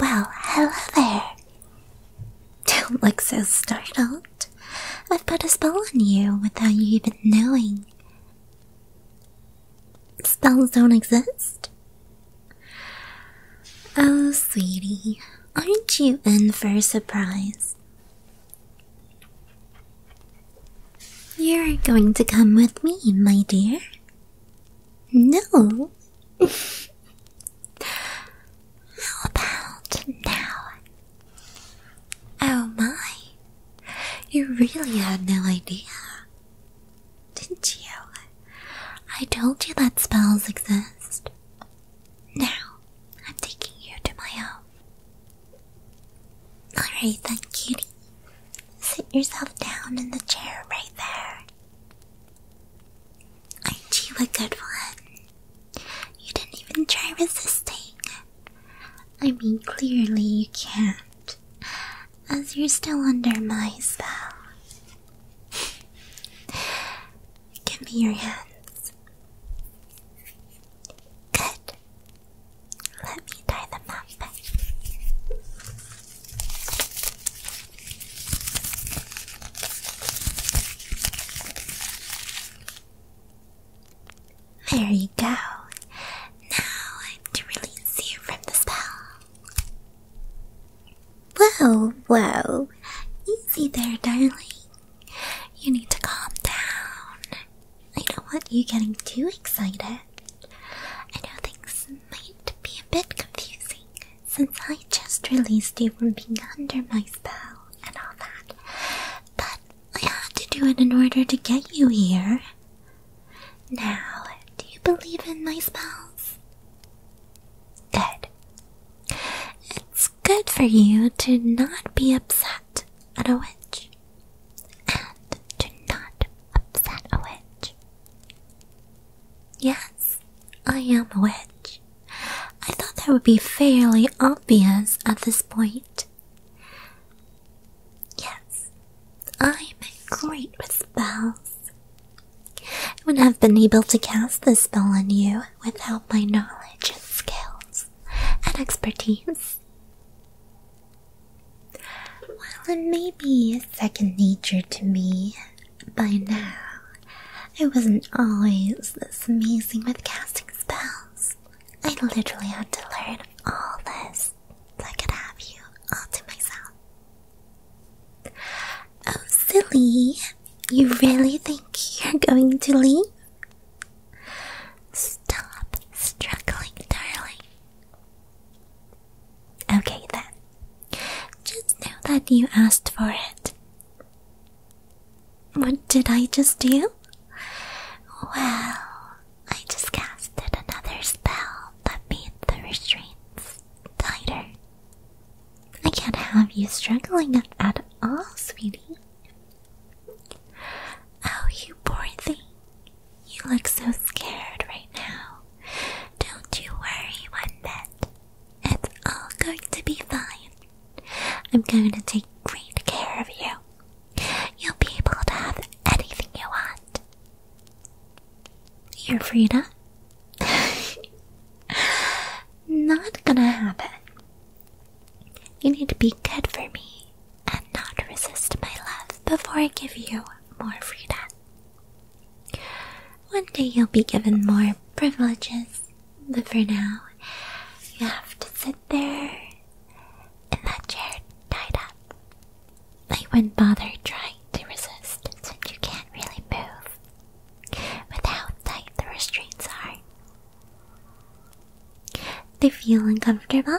Well, hello there. Don't look so startled. I've put a spell on you without you even knowing. Spells don't exist? Oh, sweetie, aren't you in for a surprise? You're going to come with me, my dear. No. How about now? Oh my. You really had no idea. Didn't you? I told you that spells exist. Now, I'm taking you to my home. Alright thank you. Sit yourself down in the chair right there. Ain't you a good one? You didn't even try resisting. I mean, clearly you can't, as you're still under my spell. Give me your hands. Good. Let me tie them up. There you go. Now I'm to release you from the spell. Whoa, whoa. Easy there, darling. You need to calm down. I don't want you getting too excited. I know things might be a bit confusing since I just released you from being under my spell and all that, but I had to do it in order to get you here. Now, do you believe in my spells? Good. It's good for you to not be upset at a witch and do not upset a witch. Yes, I am a witch. I thought that would be fairly obvious at this point. Yes, I'm great with spells. would have been able to cast this spell on you without my knowledge and skills and expertise. Well, it may be second nature to me, by now I wasn't always this amazing with casting spells. I literally had to learn all this I could have you all to myself. Oh, silly! You really think you're going to leave? Stop struggling, darling. Okay then. Just know that you asked for it. What did I just do? Well, I just casted another spell that made the restraints tighter. I can't have you struggling at all, sweetie. Oh, you poor thing. You look so scared right now. Don't you worry one bit. It's all going to be fine. I'm going to take great care of you. You'll be able to have anything you want. You're Frida? Not gonna happen. You need to be good for me and not resist my love before I give you more freedom. One day you'll be given more privileges, but for now, you have to sit there in that chair tied up. I wouldn't bother trying to resist since you can't really move with how tight the restraints are. They feel uncomfortable?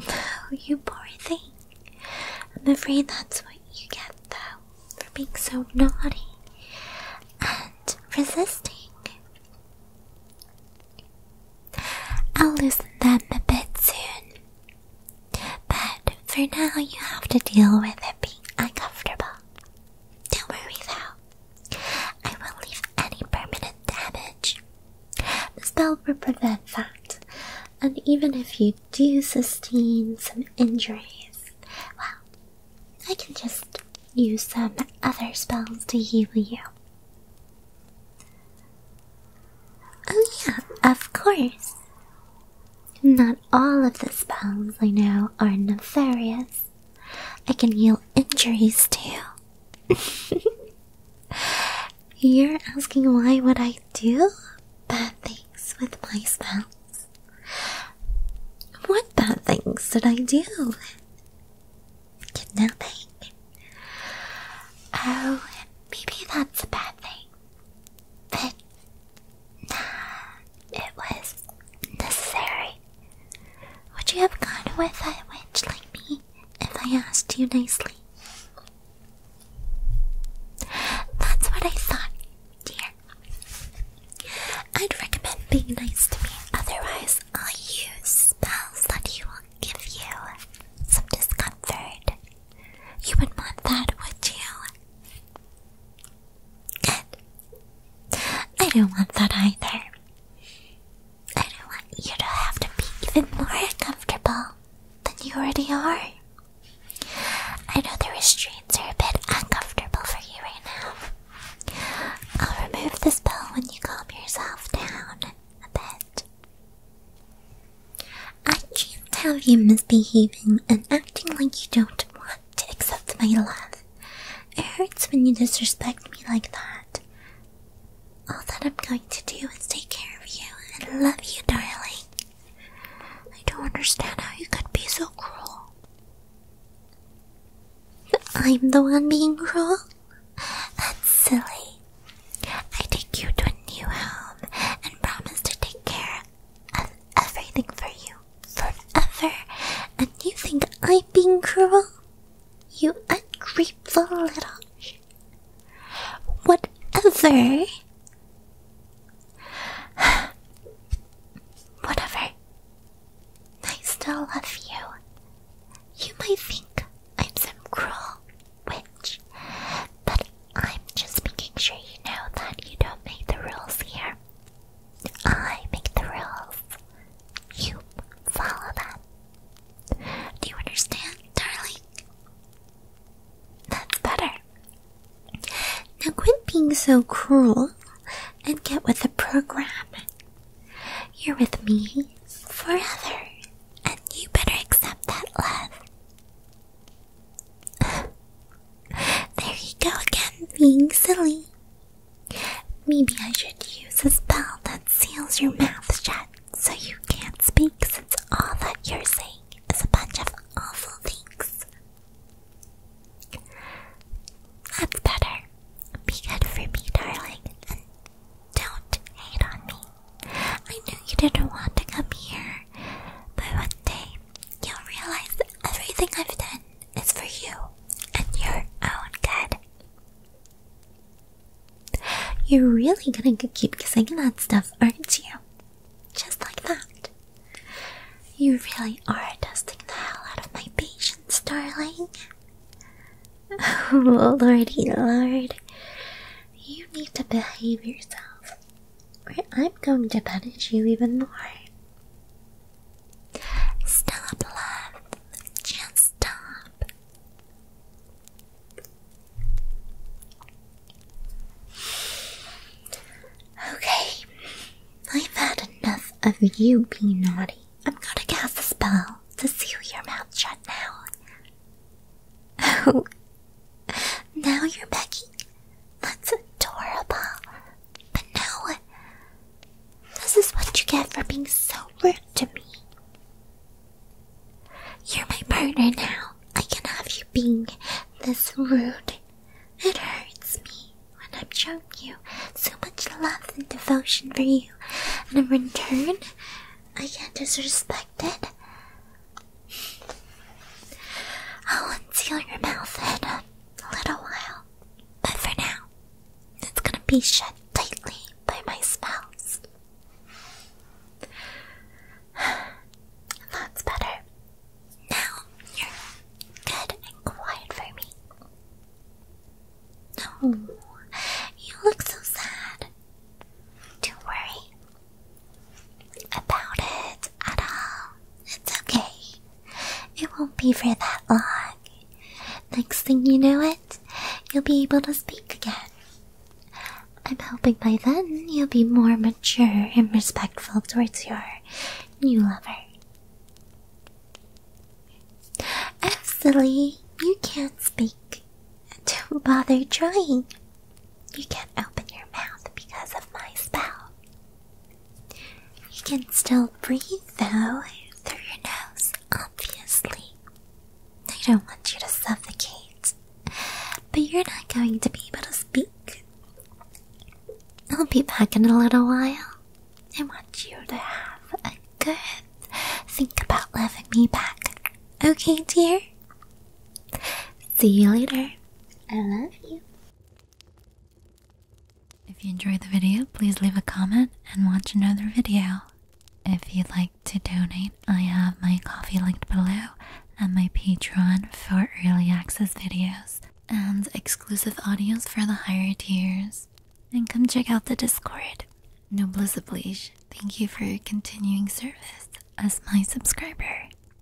Oh, you poor thing. I'm afraid that's what you get, though, for being so naughty and resisting. I'll loosen them a bit soon. But for now, you have to deal with it being uncomfortable. Don't worry, though. I will not leave any permanent damage. The spell will prevent that, and even if you do sustain some injuries, well, I can just use some other spells to heal you. Oh, yeah, of course. Not all of the spells I know are nefarious. I can heal injuries too. You're asking why would I do bad things with my spouse? What bad things did I do? Kidnapping? Oh, maybe that's a bad thing. But nah, it was necessary. Would you have gone with a witch like me if I asked you nicely? That's what I thought, dear. I'd recommend being nice to me, otherwise, I'll use spells that will give you some discomfort. You would want that, would you? Good. I don't want that either. I don't want you to have to be even more uncomfortable than you already are. I know the restraints are a bit uncomfortable for you right now. I'll remove the spell when you calm yourself down a bit. I can't have you misbehaving and acting like you don't want to accept my love. It hurts when you disrespect me like that. All that I'm going to do is take care of you and love you, darling. I don't understand how you could be so cruel. I'm the one being cruel? That's silly. I take you to a new home and promise to take care of everything for you forever, and you think I'm being cruel? You ungrateful little. Whatever. Whatever. I still love you. You might think I'm some cruel witch, but I'm just making sure you know that you don't make the rules here. I make the rules. You follow them. Do you understand, darling? That's better. Now quit being so cruel and get with the program. You're with me forever, and you better accept that love. there you go again, being silly. Maybe I should use a spell that seals your mouth shut so you can't speak since all that you're saying is a bunch of awful things. That's better. Be good for me, darling, and don't hate on me. I knew you didn't want to come here, but one day you'll realize everything I've done it's for you and your own good. You're really gonna keep kissing that stuff, aren't you? Just like that. You really are testing the hell out of my patience, darling. Oh, lordy lord. You need to behave yourself, or I'm going to punish you even more. Stop, love. Just stop. Okay, I've had enough of you being naughty. I'm gonna cast a spell to seal your mouth shut now. Oh, now you're Becky. That's adorable. But no, this is what you get for being so rude to me. You're my partner now. I can have you being this rude. It hurts me when I'm showing you so much love and devotion for you, and in return, I can't get it. I'll unseal your mouth and a little while, but for now, it's gonna be shut tightly by my spouse. That's better. Now you're good and quiet for me. Oh, you look so sad. Don't worry about it at all. It's okay. It won't be for that long. Next thing you know it, you'll be able to speak again. I'm hoping by then you'll be more mature and respectful towards your new lover. Oh, you can't speak. Don't bother trying. You can't open your mouth because of my spell. You can still breathe though through your nose, obviously. I don't want you to suffocate, but you're not going to be able to speak. I'll be back in a little while. I want you to have a good think about loving me back. Okay, dear? See you later. I love you. If you enjoyed the video, please leave a comment and watch another video. If you'd like to donate, I have my coffee linked below and my Patreon for early access videos and exclusive audios for the higher tiers. And come check out the Discord. Noblesse oblige, thank you for your continuing service as my subscriber.